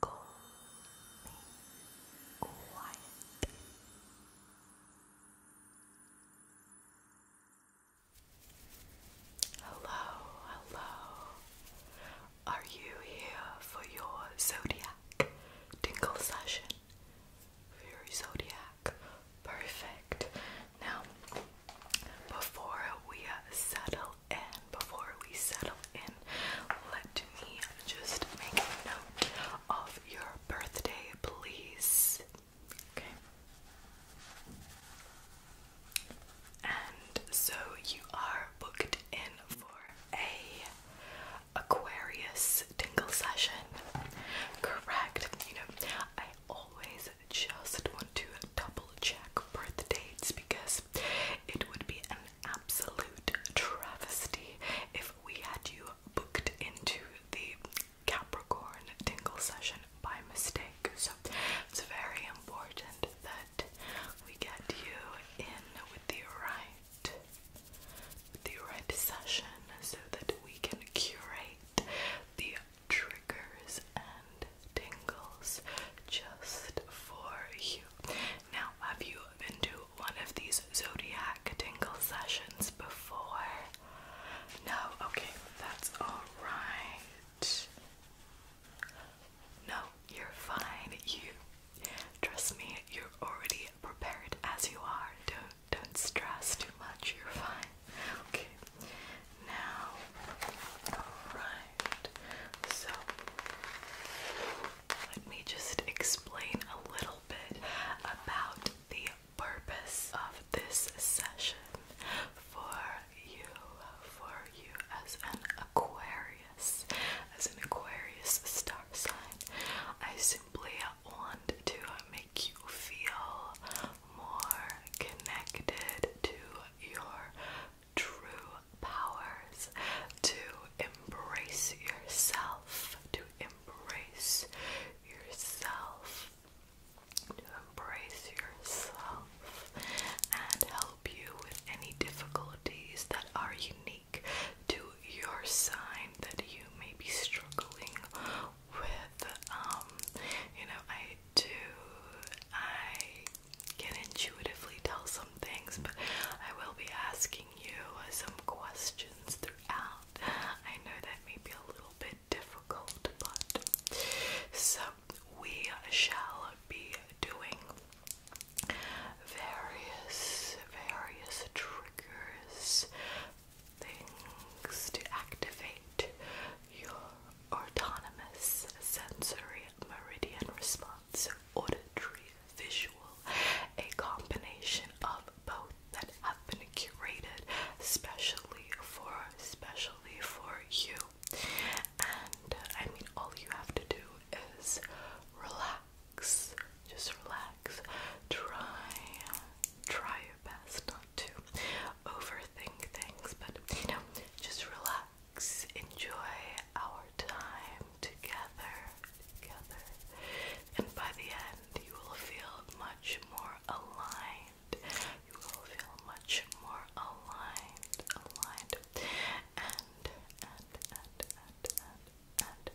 Call me Hello, hello. Are you here for your zodiac tingle session? your zodiac? Perfect. Now, before we settle settle before we settle in, let me just make note of your birthday, please. Okay. And so you are booked in for a Aquarius tingle session. Correct. You know, I always just want to double check birth dates because it would be absolute travesty if we had you booked into the Capricorn tingle session by mistake. So it's very important that we get you in with the right the right session so that we can curate the triggers and tingles just for you. Now, have you been to one of these zodiac tingle sessions before? No? Okay, that's alright. No, you're fine. You trust me, you're already prepared as you are. Don't don't stress too much, you're fine. Okay. Now alright. So, let me just explain a little bit about the purpose of this session for you, for you as an Aquarius, as an Aquarius star sign. I simply want to make you feel more connected to your true powers, to embrace yourself, to embrace yourself, to embrace yourself, and help you with any difficulties that are unique to your sign that you may be struggling with. Um, you know, I do, I can intuitively tell some things, but I will be asking you some questions throughout. I know that may be a little bit difficult, but so we shall be doing various, various triggers, things to activate your autonomous sensory meridian response auditory, visual, a combination of both that have been curated specially for specially for you. And uh, I mean all you have to do is relax. Just relax. Try try your best not to overthink things, but you know, just relax enjoy our time together, together, and by the end, you will feel much more aligned. You will feel much more aligned, aligned, and, and, and, and,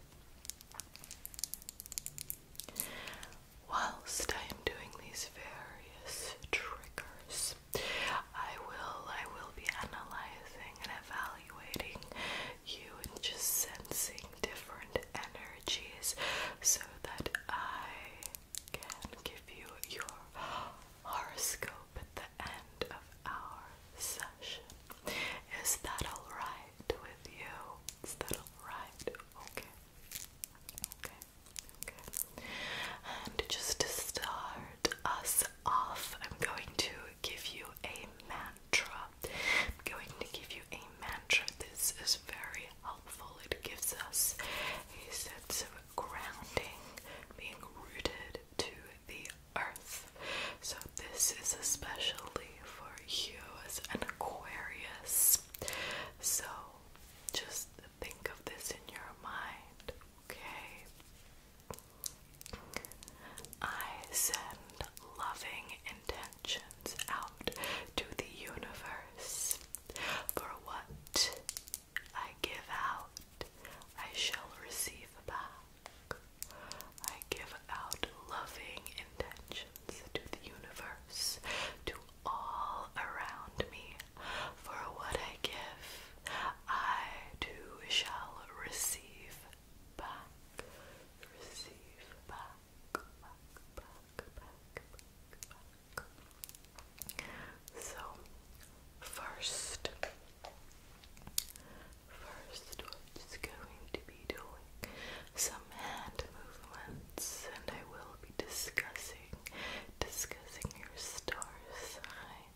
and. Whilst I am doing these various triggers, I will I will be analyzing and evaluating you and just sensing different energies so that I can give you your horoscope at the end of our session. Is that alright with you? Is that alright? Okay. Okay. Okay. And just to start us off, I'm going to give you a mantra. I'm going to give you a mantra. This is very helpful. It gives us a sense of grounding, being rooted to the earth. So, this is especially for you as an Aquarius. So, just think of this in your mind, okay? I send loving intentions out to the universe. For what I give out, I shall receive back. I give out loving intentions to the universe, to all around me. For what I give, I too shall receive back, receive back, So, first, first, going to be doing some hand movements, and I will be discussing, discussing your star sign.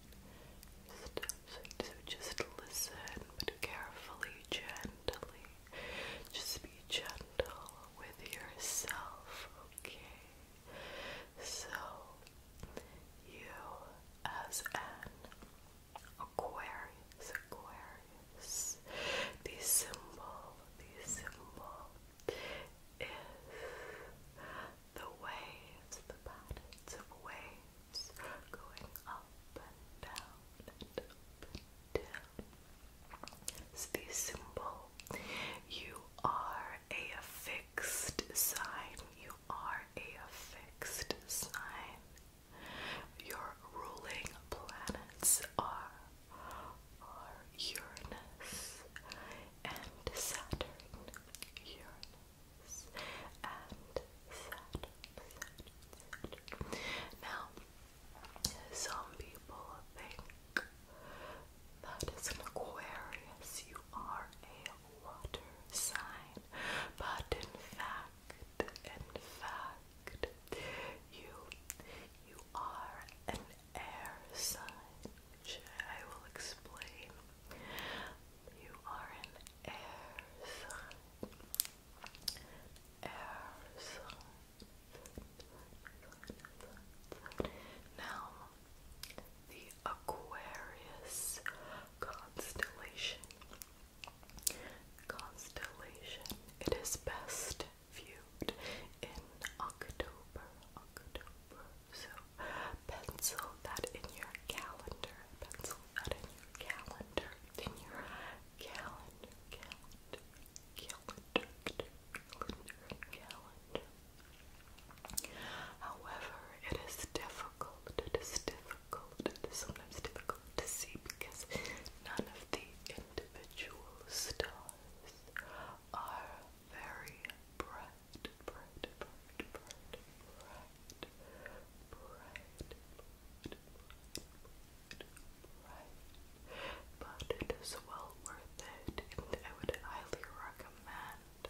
Just, so just listen, carefully, gently. Just be gentle with yourself, okay? So, you as an Aquarius, Aquarius, the symbol, the symbol is the waves, the patterns of waves going up and down and up and down. It's the symbol. You are a fixed sign. You are a fixed sign. Your ruling planets are are Uranus and Saturn. Uranus now, some people think that as an Aquarius you are a water sign, but in fact, in fact, you you are an air sign, which I will explain you are an air sign. Air sign. Now, the Aquarius constellation. Constellation. It is best viewed in October. October. So pencil that in your calendar. Pencil that in your calendar. In your calendar, calendar, calendar, calendar, calendar. However, it is difficult. It is difficult. sometimes difficult to see because none of the individual stars are very bright bright, But it is well worth it, and I would highly recommend,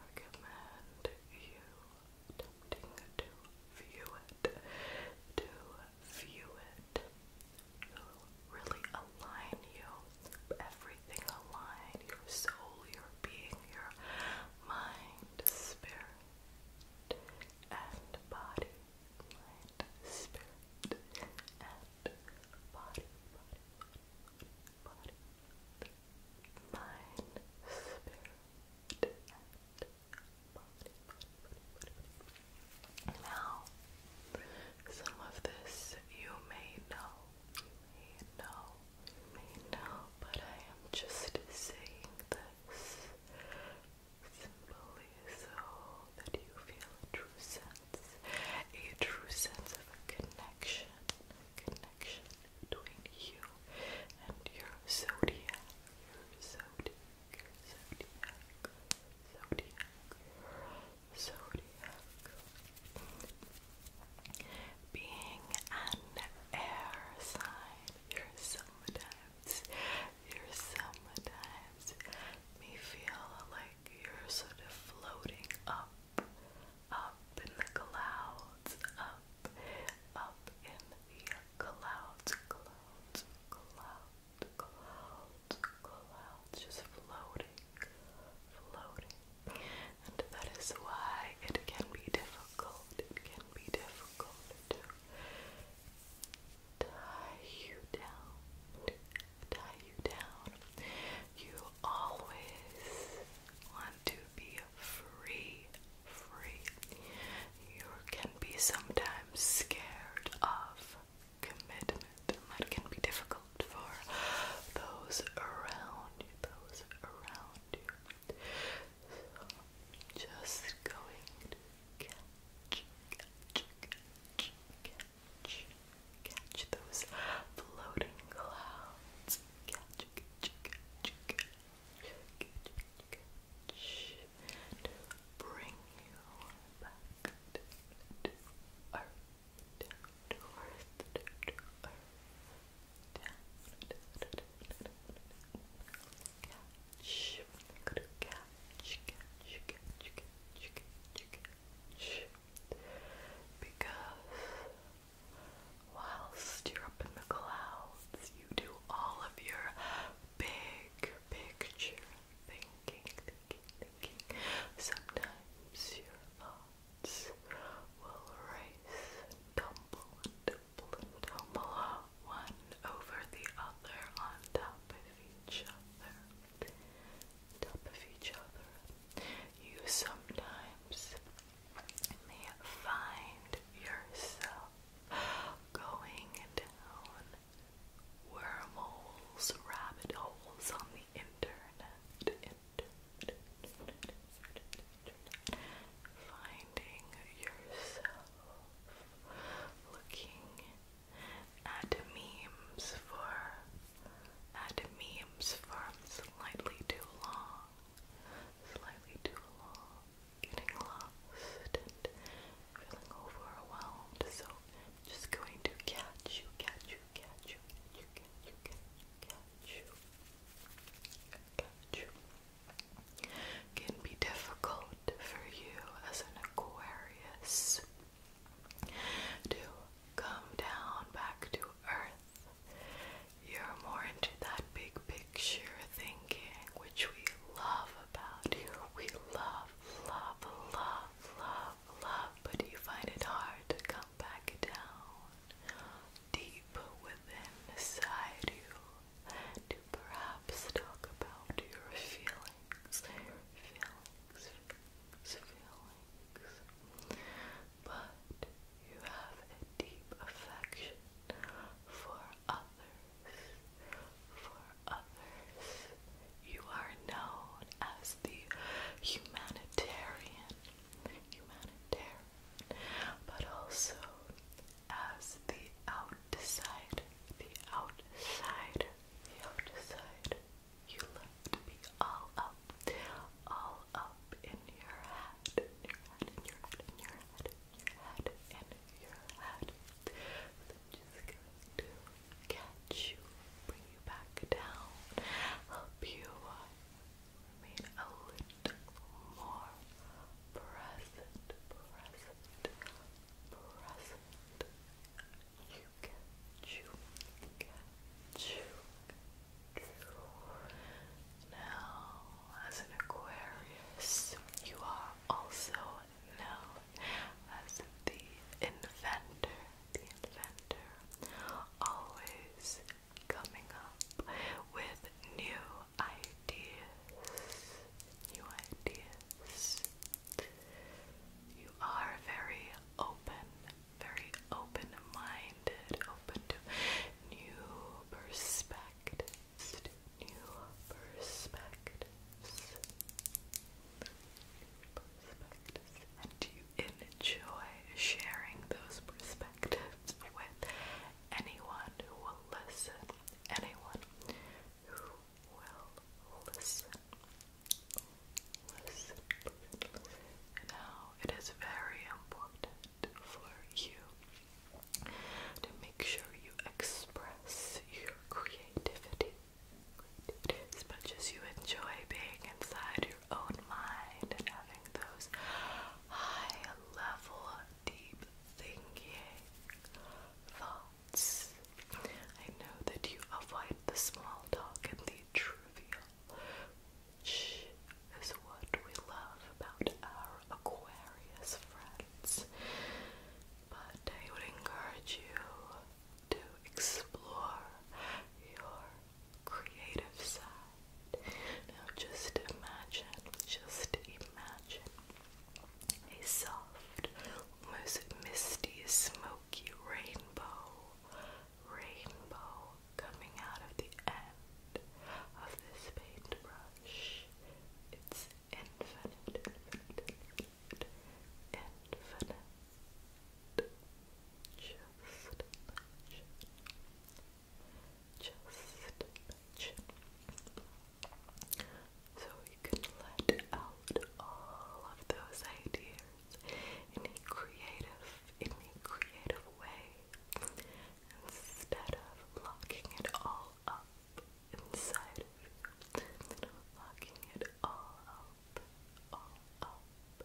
recommend you attempting to view it, to view it. it really align you, everything align, your soul, your being your mind, spirit, and body. Mind, spirit, and body, body, Mind, spirit, and body, Now, some of this you may know, you may know I know, but I am just saying this simply so that you feel a true sense, a true sense of a connection, connection between you and your zodiac, your zodiac, zodiac, zodiac, zodiac. Being an air sign, your sometimes, your sometimes may feel like you're sort of floating up, up in the clouds, up, up in the clouds, clouds, clouds, clouds, clouds, just floating, floating and that is why it can be difficult, it can be difficult to tie you down, tie you down. You always want to be free, free. You can be sometimes scared of commitment, that can be difficult for those around you, those around dear. just going to catch, catch, catch, those floating clouds. to bring you back to because whilst you're up in the clouds, you do all of your big picture thinking, Sometimes you're alone will race, tumble tumble tumble, one over the other on top of each other. Top of each other. You sometimes may find yourself going down wormholes, rabbit holes on the internet, Finding yourself looking at memes for at memes for slightly too long, slightly too long, getting lost and feeling overwhelmed. So just going to catch you, catch you, catch you, you, you, you, catch you. Got Can be difficult for you as an Aquarius to come down back to earth. You're more into that big picture thinking, which we love about you. We love, love, love, love, love, but you find it hard to come back down deep within inside you to perhaps talk about your feelings, feelings, feelings, But you have a deep affection for others, for others. You are known as the humanitarian, humanitarian but also as the outside, the outside, the outside. You love to be all up, all up in your head, in your head, in your head, in your head, in your head, just to catch you, bring you back down, help you remain a little more present, present, present. You catch, you you Now, as an Aquarius, you are also known as the inventor, the inventor, always coming up with new ideas. New ideas. You are very open, very open minded, open to new perspectives, new perspectives, perspectives, and you enjoy sharing those perspectives perspectives with anyone who will listen. Anyone who will listen. Now, it is very important for you to make sure you express your creativity as much as you enjoy being inside own mind and having those high level, deep thinking thoughts. I know that you avoid the small talk and the trivial, which is what we love about our Aquarius friends. But I would encourage you to explore your creative side. Now just imagine, just imagine a soft, almost misty, smoky rainbow, rainbow coming out of the end of this paintbrush. It's infinite, infinite, infinite, infinite. Just just So you can let out all of those ideas in a creative, in a creative way, instead of locking it all up inside of you, locking it all up, all up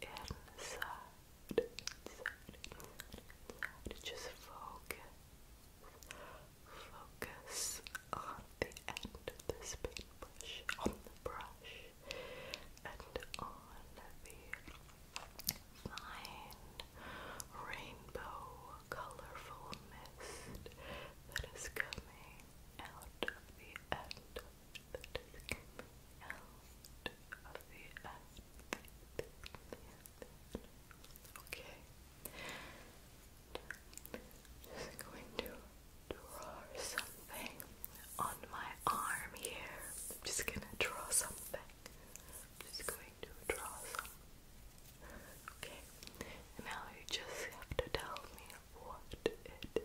inside inside, inside, Just focus, focus on the end of this paintbrush, on the brush, and on the fine rainbow colorful mist that is coming out of the end of the out of Okay. Just going to draw something on my arm here. just gonna draw something. just going to draw some. Okay. Now you just have to tell me what it is.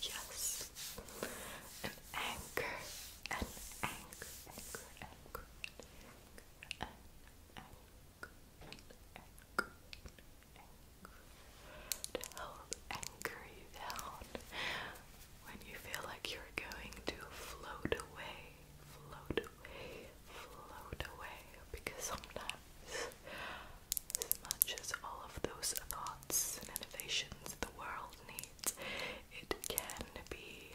Yes. An anchor. An anchor. Anchor. Anchor. An help anchor you down when you feel like you're going to float away. Float away. Float away. Because sometimes smudges all of those thoughts and innovations the world needs. It can be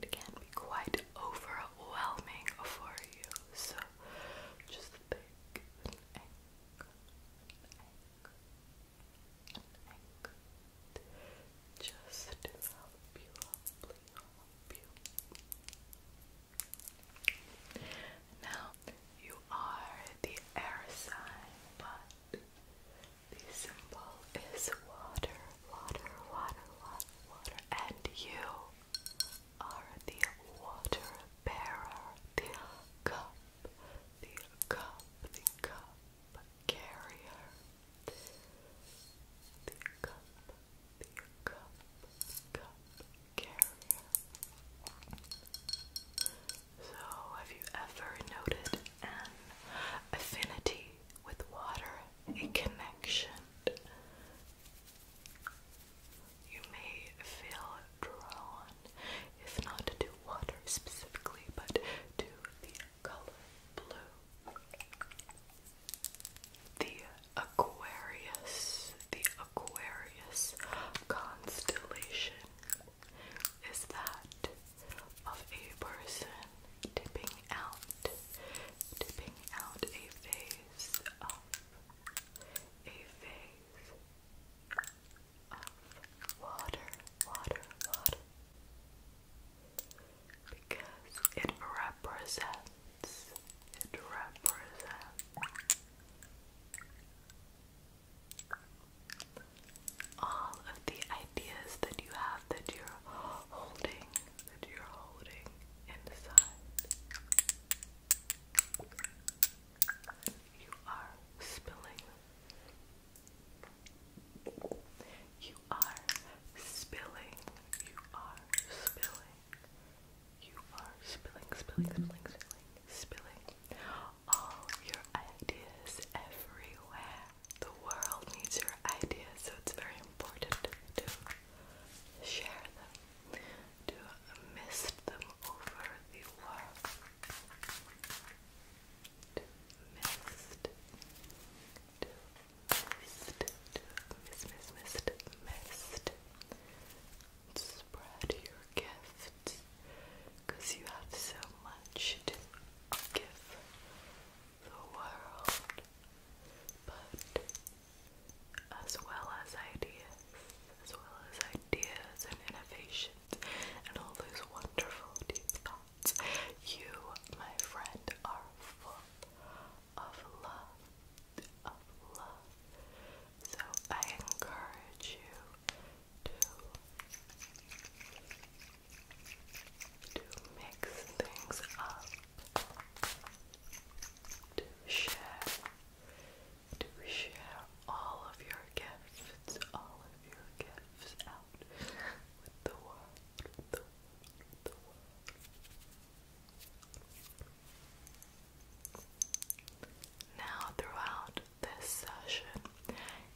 it can be quite overwhelming for you. So just think Now you are the air sign, but the symbol is water, water, water, water, water, and you are the water bearer, the cup, the cup, the cup carrier, the cup, the cup, cup so, have you ever noted an affinity with water, a connection? You may feel drawn, if not to water specifically, but to the color blue. The Aquarius. The Aquarius constellation is that of a person dipping out, dipping out a phase of, a phase of water, water, water, because it represents, it represents all of the ideas that you have that you're holding, that you're holding inside. You are spilling You are spilling. You are spilling. You are spilling, spilling, spilling, spilling, spilling all your ideas everywhere. The world needs your ideas, so it's very important to share them, to mist them over the world. To mist, to mist, to mist, mist, mist, mist spread your gifts because you have so much to give the world, but as well as ideas, as well as ideas and innovations and all those wonderful deep thoughts, you, my friend, are full of love, of love, so I encourage you to to mix things up, to share, to share all of your gifts, all of your gifts out with the world, now, throughout this session,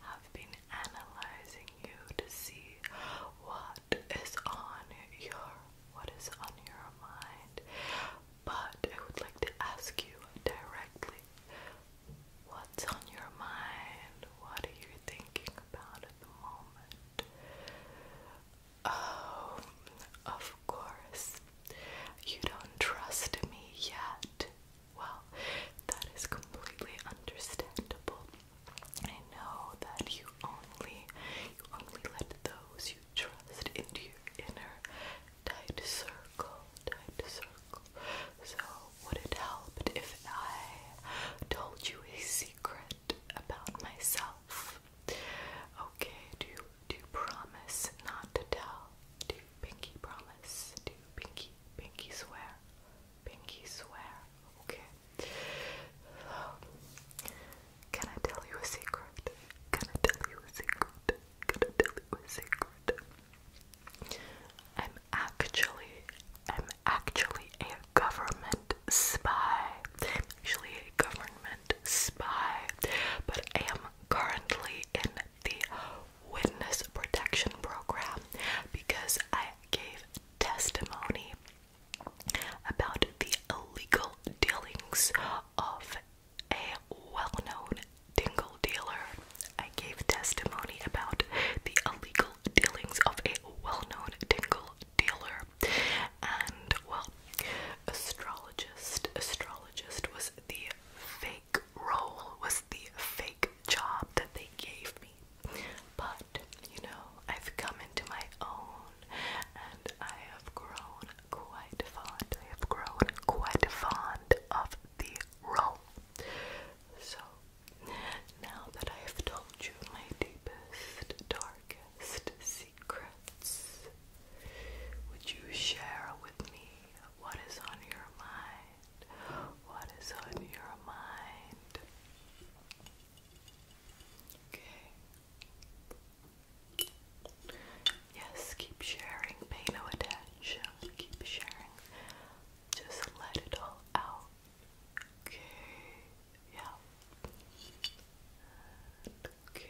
I've been analyzing you to see what is on your what is on your mind, but I would like to ask you directly what's on your mind? What are you thinking about at the moment? Oh, of course, you don't trust me yet. Well, that is completely understandable. I know that you only you only let those you trust into your inner tight circle, tight circle. So would it help if I told you a secret about myself? Okay, do to promise not to tell, to pinky promise, to pinky, pinky swear, pinky swear, okay? Can I tell you a secret? Can I tell you a secret? Can I tell you a secret? I'm actually, I'm actually a government spy. actually a government spy, but I am currently in the witness protection program because I gave testimony about the illegal dealings of a well known dingle dealer. I gave testimony about the illegal dealings of a well known dingle dealer. And well, astrologist astrologist was the fake role was the fake job that they gave me but you know I've come into my own and I have grown quite fond I have grown quite fond of the role so now that I have told you my deepest darkest secrets? Would you share with me what is on your mind? What is on your mind? Okay. Yes, keep sharing. Pay no attention. Keep sharing. Just let it all out. Okay. Yeah. Okay.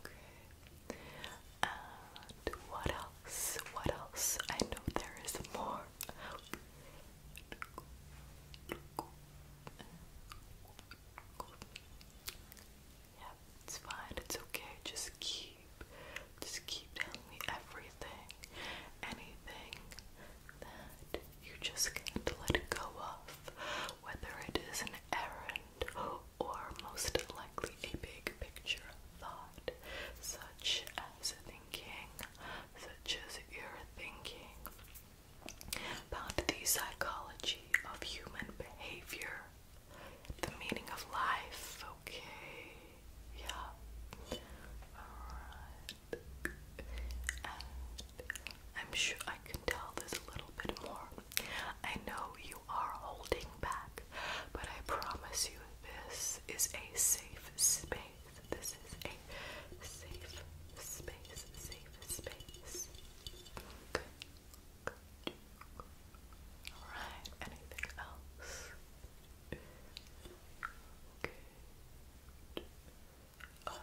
Okay. And what else? What else? I know there is more. Yeah, it's fine. It's okay. Just keep, just keep telling me everything, anything that you just can't let go of, whether it is an errand or most likely a big picture thought, such as thinking, such as you're thinking about the psychology of human behavior, the meaning of life, okay? Yeah. Alright. And I'm sure I can tell this a little bit more. I know you are holding back, but I promise you this is a safe space. This is a safe space, safe space. Good. Good. Alright, anything else? art.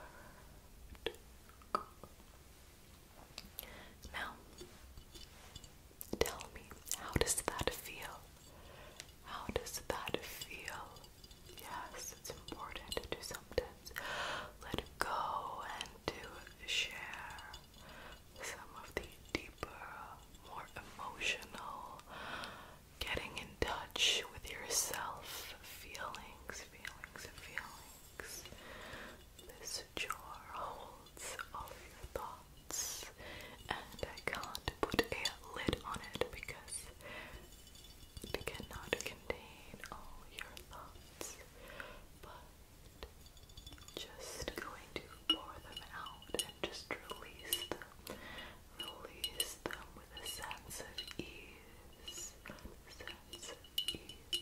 Now, tell me, how does that feel? How does that feel? Yes, it's important to sometimes let go and to share some of the deeper, more emotional, getting in touch with yourself feelings, feelings, feelings. This jar holds all your thoughts, and I can't put a lid on it because it cannot contain all your thoughts. But just going to pour them out and just release them. Release them with a sense of ease. Sense of ease.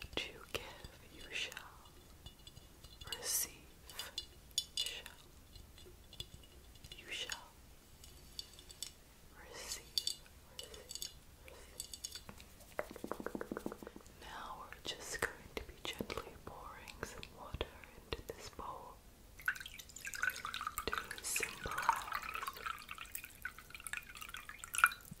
to give you shall receive shall you shall receive, receive, receive. Now we're just going to be gently pouring some water into this bowl to symbolize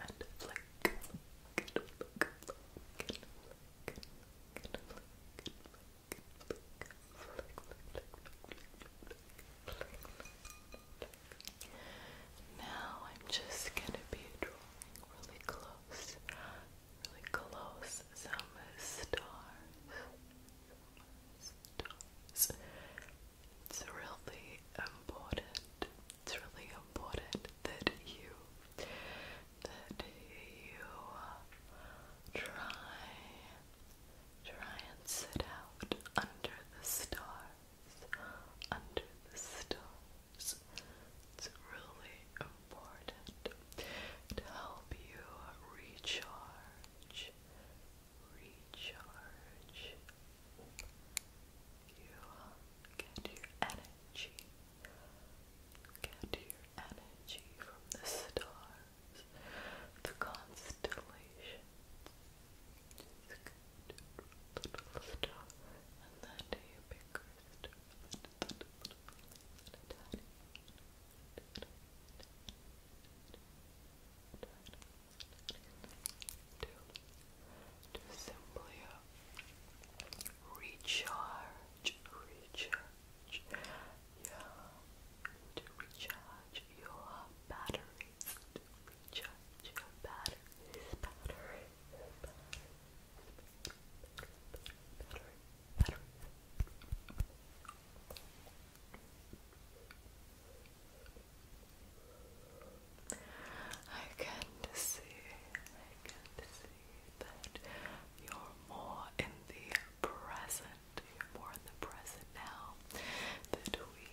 And flick, flick, flick, flick, flick, flick, flick, now I'm just gonna be drawing really close, really close, some stars, stars. It's really important, it's really important that you, that you uh, try, try and sit out under the stars, under the stars. It's really important to help you recharge, recharge. You get your energy, get your energy from the stars, the constellations. little star and then do bigger to simply recharge, recharge, yeah, to recharge your batteries, to recharge your batteries, batteries, batteries better, I can see, I can see that you're more in the present, you're more in the present now, that we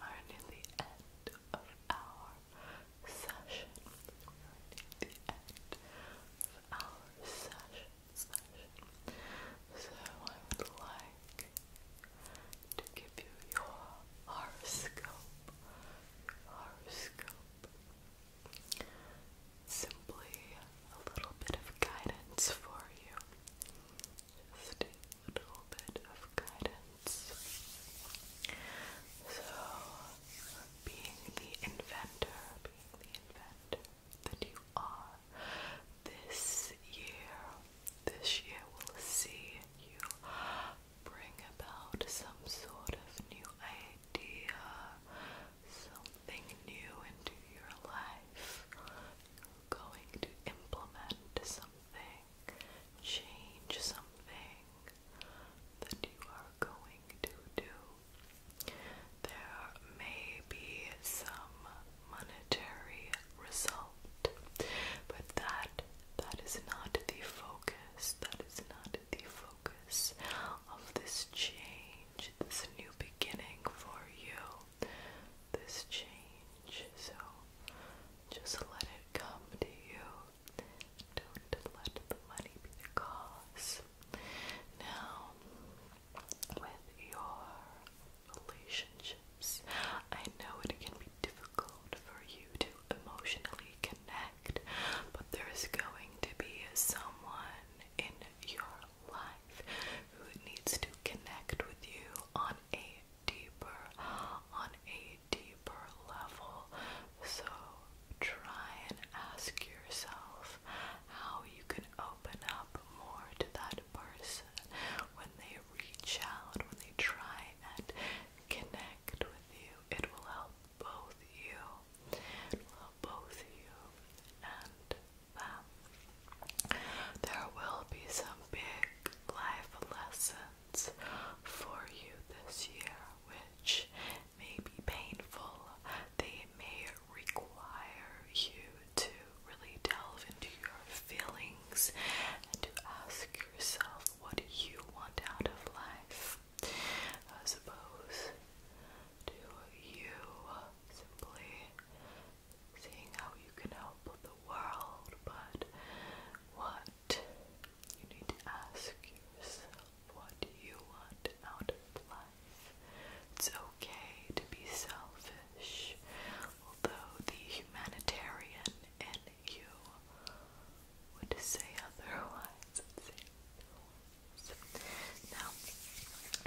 are near the end of our so I would like to give you your horoscope. horoscope. Simply a little bit of guidance for you. Just a little bit of guidance. So, being the inventor, being the inventor that you are, this year, this year will see you bring about some sort of new idea, something new into your life. going to implement something, change something, that you are going to do. There may be some monetary result, but that that is not the focus. That is not the focus of this change, this new beginning for you. This change. So just let it come to you. Don't let the money be the cause. Now, with your relationships, I know it can be difficult for you to emotionally connect, but there's going to be someone in your life who needs to connect with you on a deeper, on a deeper level. So try and ask yourself how you can open up more to that person when they reach out, when they try and connect with you. It will help both you. help both you and them. There will be some big life lessons for you this year which may be painful, they may require you to really delve into your feelings and to ask yourself what you want out of life. I suppose. to you simply seeing how you can help the world, but what you need to ask yourself what you want out of life. It's okay to be selfish, although the humanitarian in you would say otherwise. Would say Now,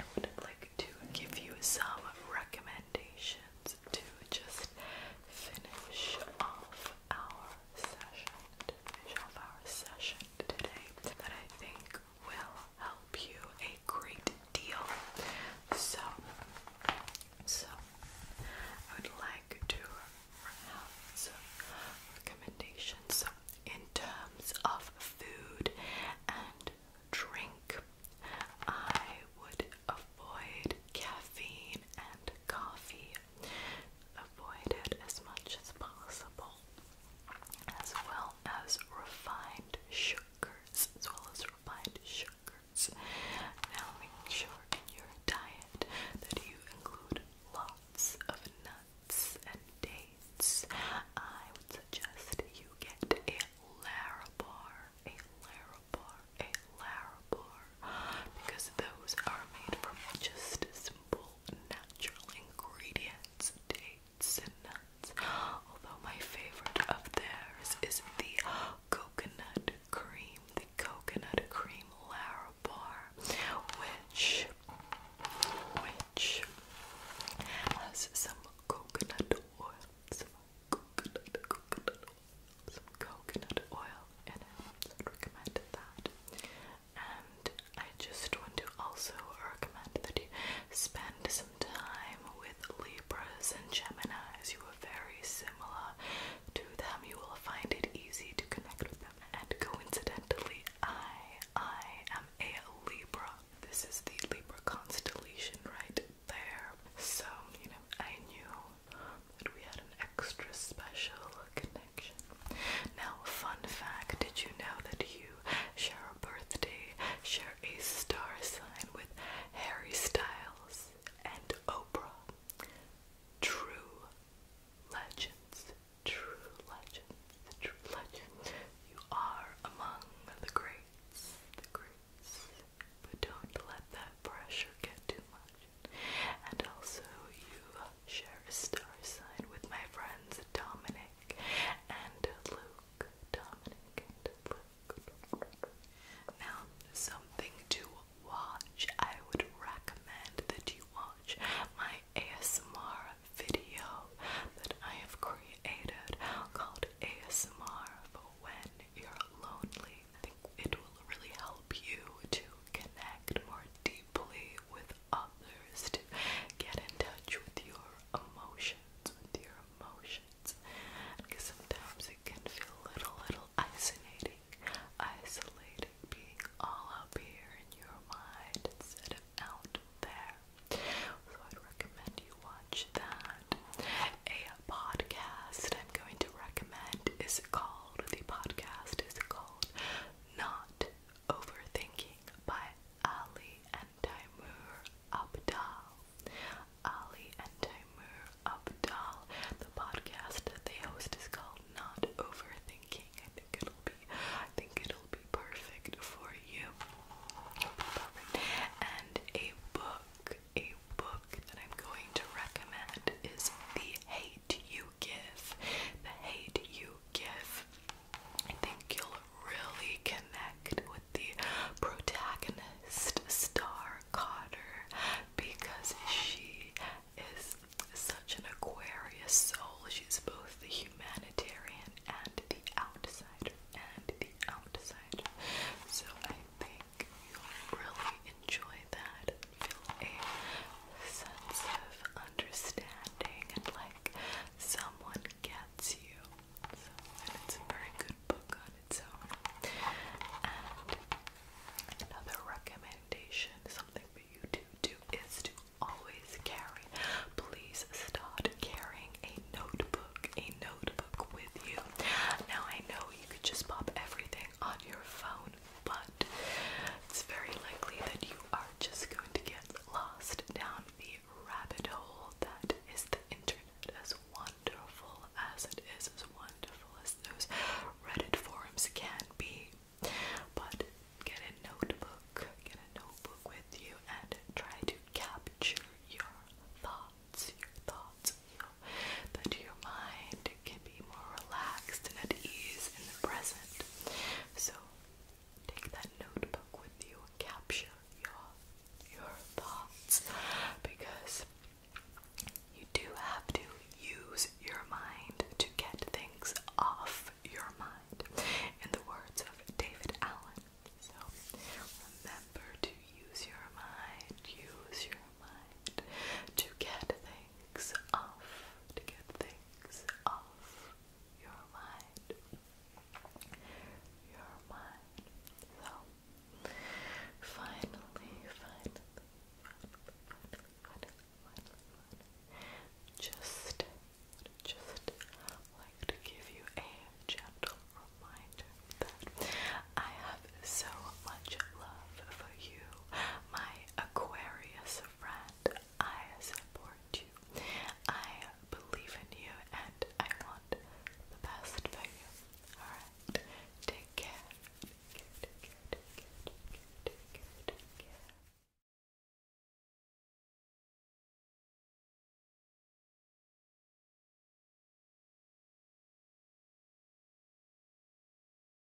I would like to give you some recommendations to just finish off our session, visual power session today that I think will help you a great deal. So, so I would like to have some recommendations in terms of food and drink. I would avoid caffeine and coffee Avoid it as much as possible, as well as refined sugars, as well as refined sugars. Now make sure in your diet that you include lots of nuts and dates. I would suggest you get a Larabar, a Larabar, a Larabar because those are made from just simple natural ingredients, dates and nuts. Although my favorite of theirs is the coconut cream, the coconut cream Larabar, which which has some coconut oil, some coconut, coconut oil, some coconut oil and I would recommend that. And I just want to also recommend that you spend some time with Libras and Geminis. You are very similar to them. You will find it easy to connect with them. And coincidentally, I I am a Libra. This is the Libra constellation right there. So, you know, I knew that we had an extra special connection. Now, fun fact did you know that you share a birthday, share a star sign with Harry Styles and Oprah? True legends, true legends, true legends. You are among the greats, the greats. But don't let that pressure get too much. And also, you share a star sign with my friends Dominic and Luke. Dominic Now, something to watch. I would recommend that you watch my ASMR video that I have created called ASMR for when you're lonely. I think it will really help help you to connect more deeply with others, to get in touch with your emotions, with your emotions. Because sometimes it can feel a little, little isolating, isolating being all up here in your mind instead of out there. So I'd recommend you watch that. A podcast I'm going to recommend is called the podcast is called Not Overthinking by Ali and Timur Abdal. Ali and Timur Abdal. The podcast that they host is called Not Overthinking. I think it'll be I think it'll be perfect for you. And a book, a book that I'm going to recommend is The Hate the hate you give. I think you'll really connect with the protagonist, Star Carter, because she is such an Aquarius soul. She's both the humanitarian and the outsider, and the outsider. So I think you'll really enjoy that feel a sense of understanding and like someone gets you. and it's a very good book on its own. And another recommendation, something for you to do, is to always carry. Please start carrying a notebook, a notebook with you. Now I know you could just pop everything on your phone, but it's very likely that you are just going to get lost down the rabbit hole that is the internet. As wonderful as it is, as wonderful as those Reddit forums can be, but get a notebook, get a notebook with you, and try to capture your thoughts, your thoughts, you your mind can be more relaxed and at ease in the present. So take that notebook with you capture your your thoughts because you do have to use your mind to get things off your mind. In the words of David Allen. So remember to use your mind, use your to get things off, to get things off your mind. Your mind. So, finally, finally, just, just like to give you a gentle reminder that I have so much love for you, my Aquarius friend, I support you. I believe in you and I want the best for you. Alright, take care. Take care, take care, take care, take care, take care.